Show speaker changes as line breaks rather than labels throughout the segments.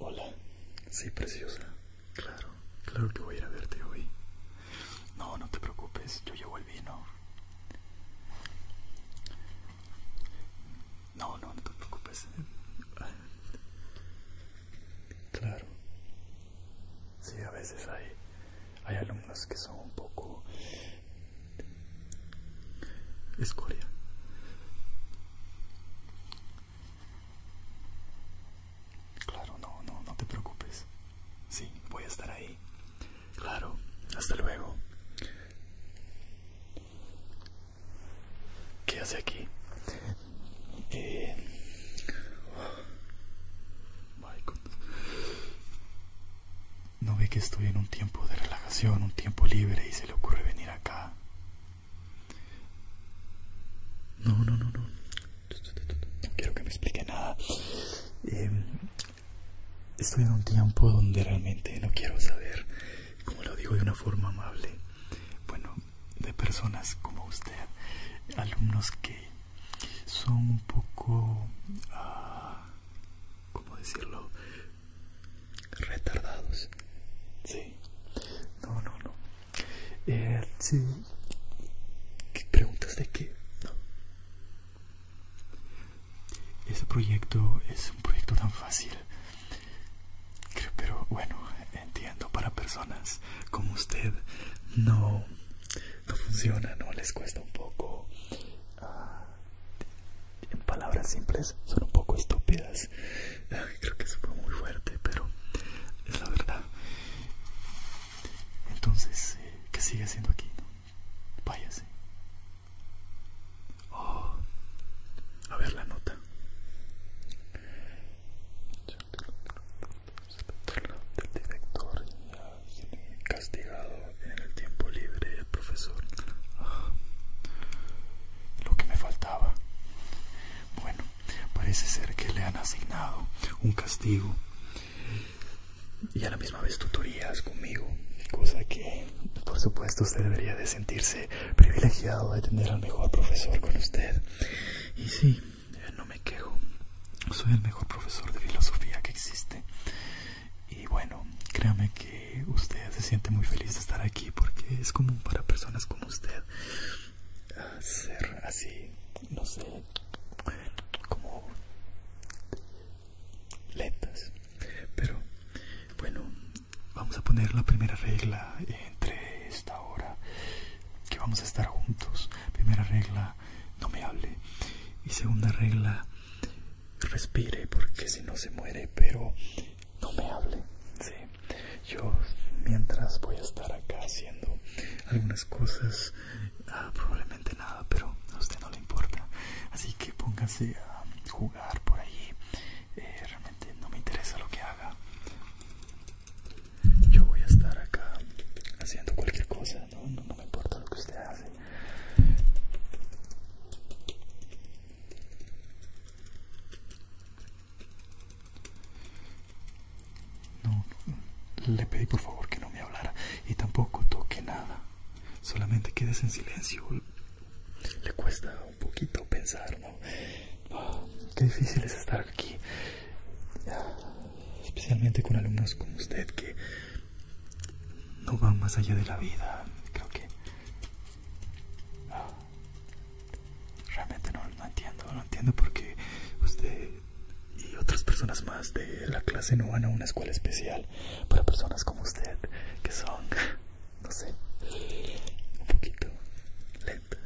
Hola, sí, preciosa. Claro, claro que voy a ir a verte hoy. No, no te preocupes, yo llevo el vino. No, no, no te preocupes. Claro. Sí, a veces hay hay alumnos que son un poco escoria claro no no no te preocupes sí voy a estar ahí claro hasta luego ¿Qué hace aquí? Eh, ¿No ve que estoy en un tiempo de relajación, un tiempo libre y se le ocurre venir acá? No, no, no, no. No quiero que me explique nada. Em, estoy en un tiempo donde realmente no quiero saber, como lo digo de una forma amable, bueno, de personas como usted, alumnos que son un poco, ah, ¿cómo decirlo? Retardados. Sí. No, no, no. Eh, preguntas de qué? No. Ese proyecto es un proyecto tan fácil. Pero bueno, entiendo para personas como usted no, funciona, no les cuesta un poco. Ah, en palabras simples, son un poco estúpidas. creo que eso fue muy fuerte, pero es la verdad. Entonces, que eh, ¿qué sigue haciendo aquí? Váyase. Oh, a ver la nota del director y castigado en el tiempo libre el profesor ah, lo que me faltaba bueno parece ser que le han asignado un castigo y a la misma vez tutorías conmigo cosa que por supuesto usted debería de sentirse privilegiado de tener al mejor profesor con usted y sí eh, no me quejo. Soy el mejor profesor de filosofía que existe. Y bueno, créame que usted se siente muy feliz de estar aquí porque es común para personas como usted ser así, no sé, como lentas. Pero bueno, vamos a poner la primera regla entre esta hora que vamos a estar juntos. Primera regla, no me hable. Y segunda regla, respire porque si no se muere, pero no me hable. Sí. Yo mientras voy a estar acá haciendo algunas cosas, ah, probablemente nada, pero a usted no le importa. Así que póngase a jugar por allí eh, realmente no me interesa lo que haga. Yo voy a estar acá haciendo cualquier cosa, no, me importa lo que usted hace. No, le pedí por favor que no me hablara y tampoco toque nada. Solamente quedes en silencio. Le cuesta un poquito pensar, ¿no? Ah, qué difícil es estar aquí, especialmente con alumnos como usted que no van más allá de la vida. Creo que ah, realmente no, no entiendo, no entiendo por qué usted y otras personas más de la clase no van a una escuela especial para personas como usted que son no sé, un poquito lentas.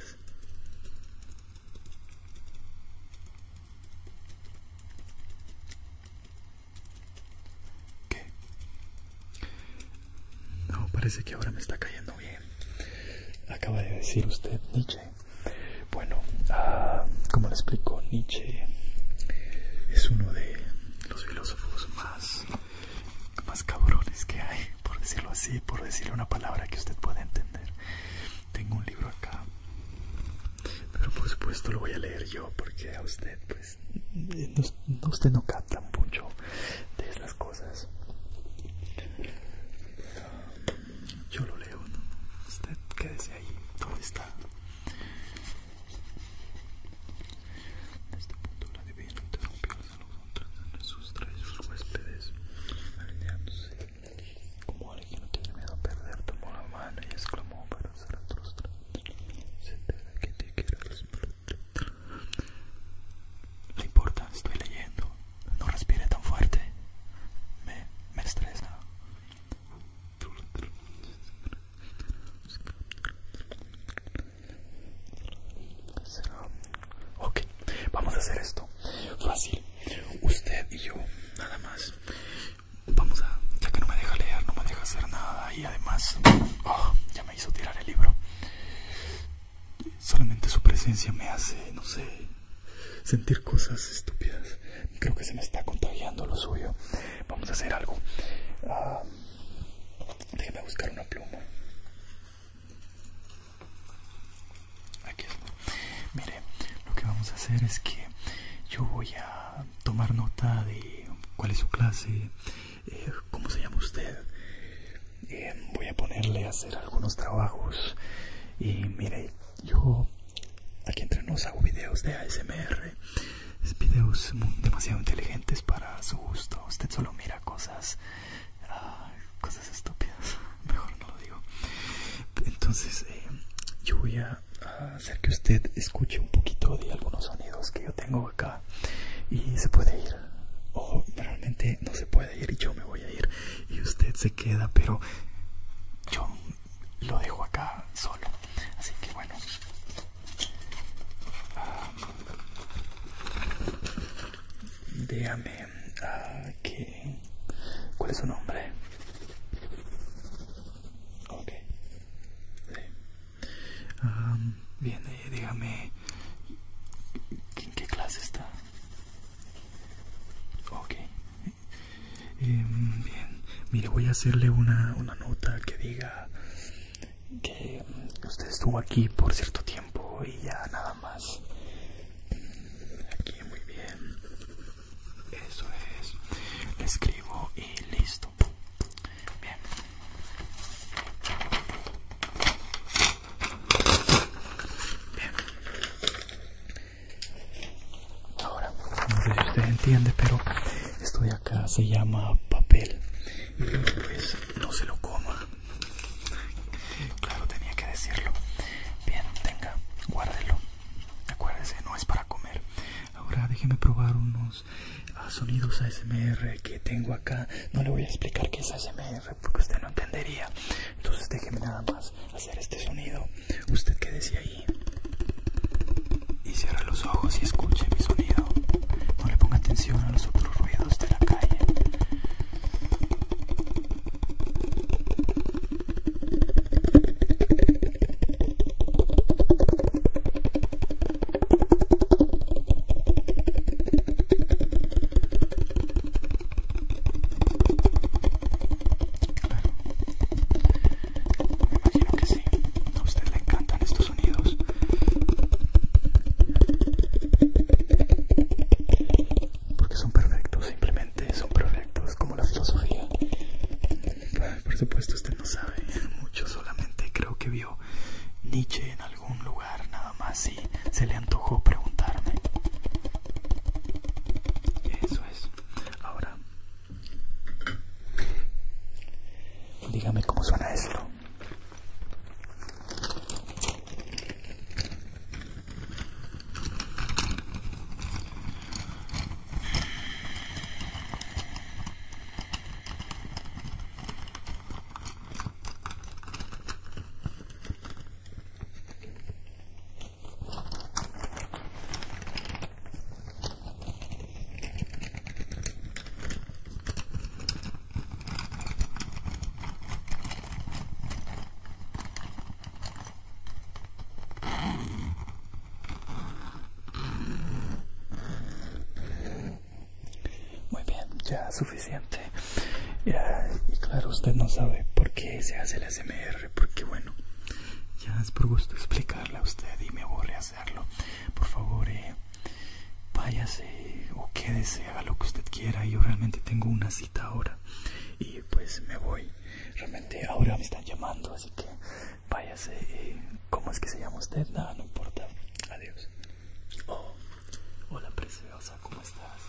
No, parece que ahora me está cayendo bien. Acaba de decir usted Nietzsche. Bueno, ah, como le explico, Nietzsche es uno de los filósofos más más cabrones que hay, por decirlo así, por decirle una palabra que usted pueda entender. Tengo un libro acá, pero por supuesto lo voy a leer yo, porque a usted, pues, no, usted no capta mucho de esas cosas. Yo lo leo, ¿no? usted quédese ahí, todo está. En este punto la divina tratan a sus tres huéspedes, alineándose como alguien que no tiene miedo a perder, tomó la mano y exclamó para ser frustrado. Se entera que te respirar. No importa, estoy leyendo. No respire tan fuerte. Me, me estresa. Ok, vamos a hacer esto fácil. Usted y yo, nada más. Vamos a. Ya que no me deja leer, no me deja hacer nada. Y además, oh, ya me hizo tirar el libro. Solamente su presencia me hace, no sé, sentir cosas estúpidas. Creo que se me está contagiando lo suyo. Vamos a hacer algo. Ah, Déjeme buscar una pluma. Aquí está. Mire, lo que vamos a hacer es que yo voy a tomar nota de cuál es su clase, eh, cómo se llama usted. Eh, voy a ponerle a hacer algunos trabajos. Y mire, yo aquí entre nos hago videos de ASMR videos demasiado inteligentes para su gusto. Usted solo mira cosas, ah, cosas estúpidas. Mejor no lo digo. Entonces, eh, yo voy a hacer que usted escuche un poquito de algunos sonidos que yo tengo acá y se puede ir o realmente no se puede ir y yo me voy a ir y usted se queda pero yo lo dejo acá solo así que bueno Um, déjame dígame, ah, ¿qué? ¿cuál es su nombre? Ok. Um, bien, eh, dígame, ¿en qué clase está? Ok. Eh, bien, mire, voy a hacerle una nota que diga que usted estuvo aquí por cierto tiempo y ya nada más. Aquí muy bien. Eso es. escribo y listo. Bien. Bien. Ahora, no sé si usted entiende, pero esto de acá se llama papel. Y pues no se lo coma. Claro, tenía que decirlo. Bien, tenga, guárdelo. Acuérdese, no es para comer. Ahora déjeme probar unos ah, sonidos ASMR que tengo acá. No le voy a explicar qué es ASMR porque usted no entendería. Entonces déjeme nada más hacer este sonido. ¿Usted qué decía ahí? y cierra los ojos y escuche mi sonido. No le ponga atención a los otros ruidos de la calle. Me imagino que sí. A usted le encantan estos sonidos. Porque son perfectos, simplemente son perfectos, como la filosofía. Por supuesto, usted no sabe mucho, solamente creo que vio Nietzsche en algún lugar, nada más, y se le antojó preguntarme. Eso es. Ahora, Dígame cómo suena esto. Muy bien, ya suficiente. y claro, usted no sabe por qué se hace el SMR, porque bueno, ya es por gusto explicarle a usted y me a hacerlo. Por favor, eh, váyase o quédese, haga lo que usted quiera. Yo realmente tengo una cita ahora y pues me voy. Realmente ahora me están llamando, así que váyase. Eh, ¿Cómo es que se llama usted? Nada, no, importa. Adiós. Oh, hola preciosa, ¿cómo estás?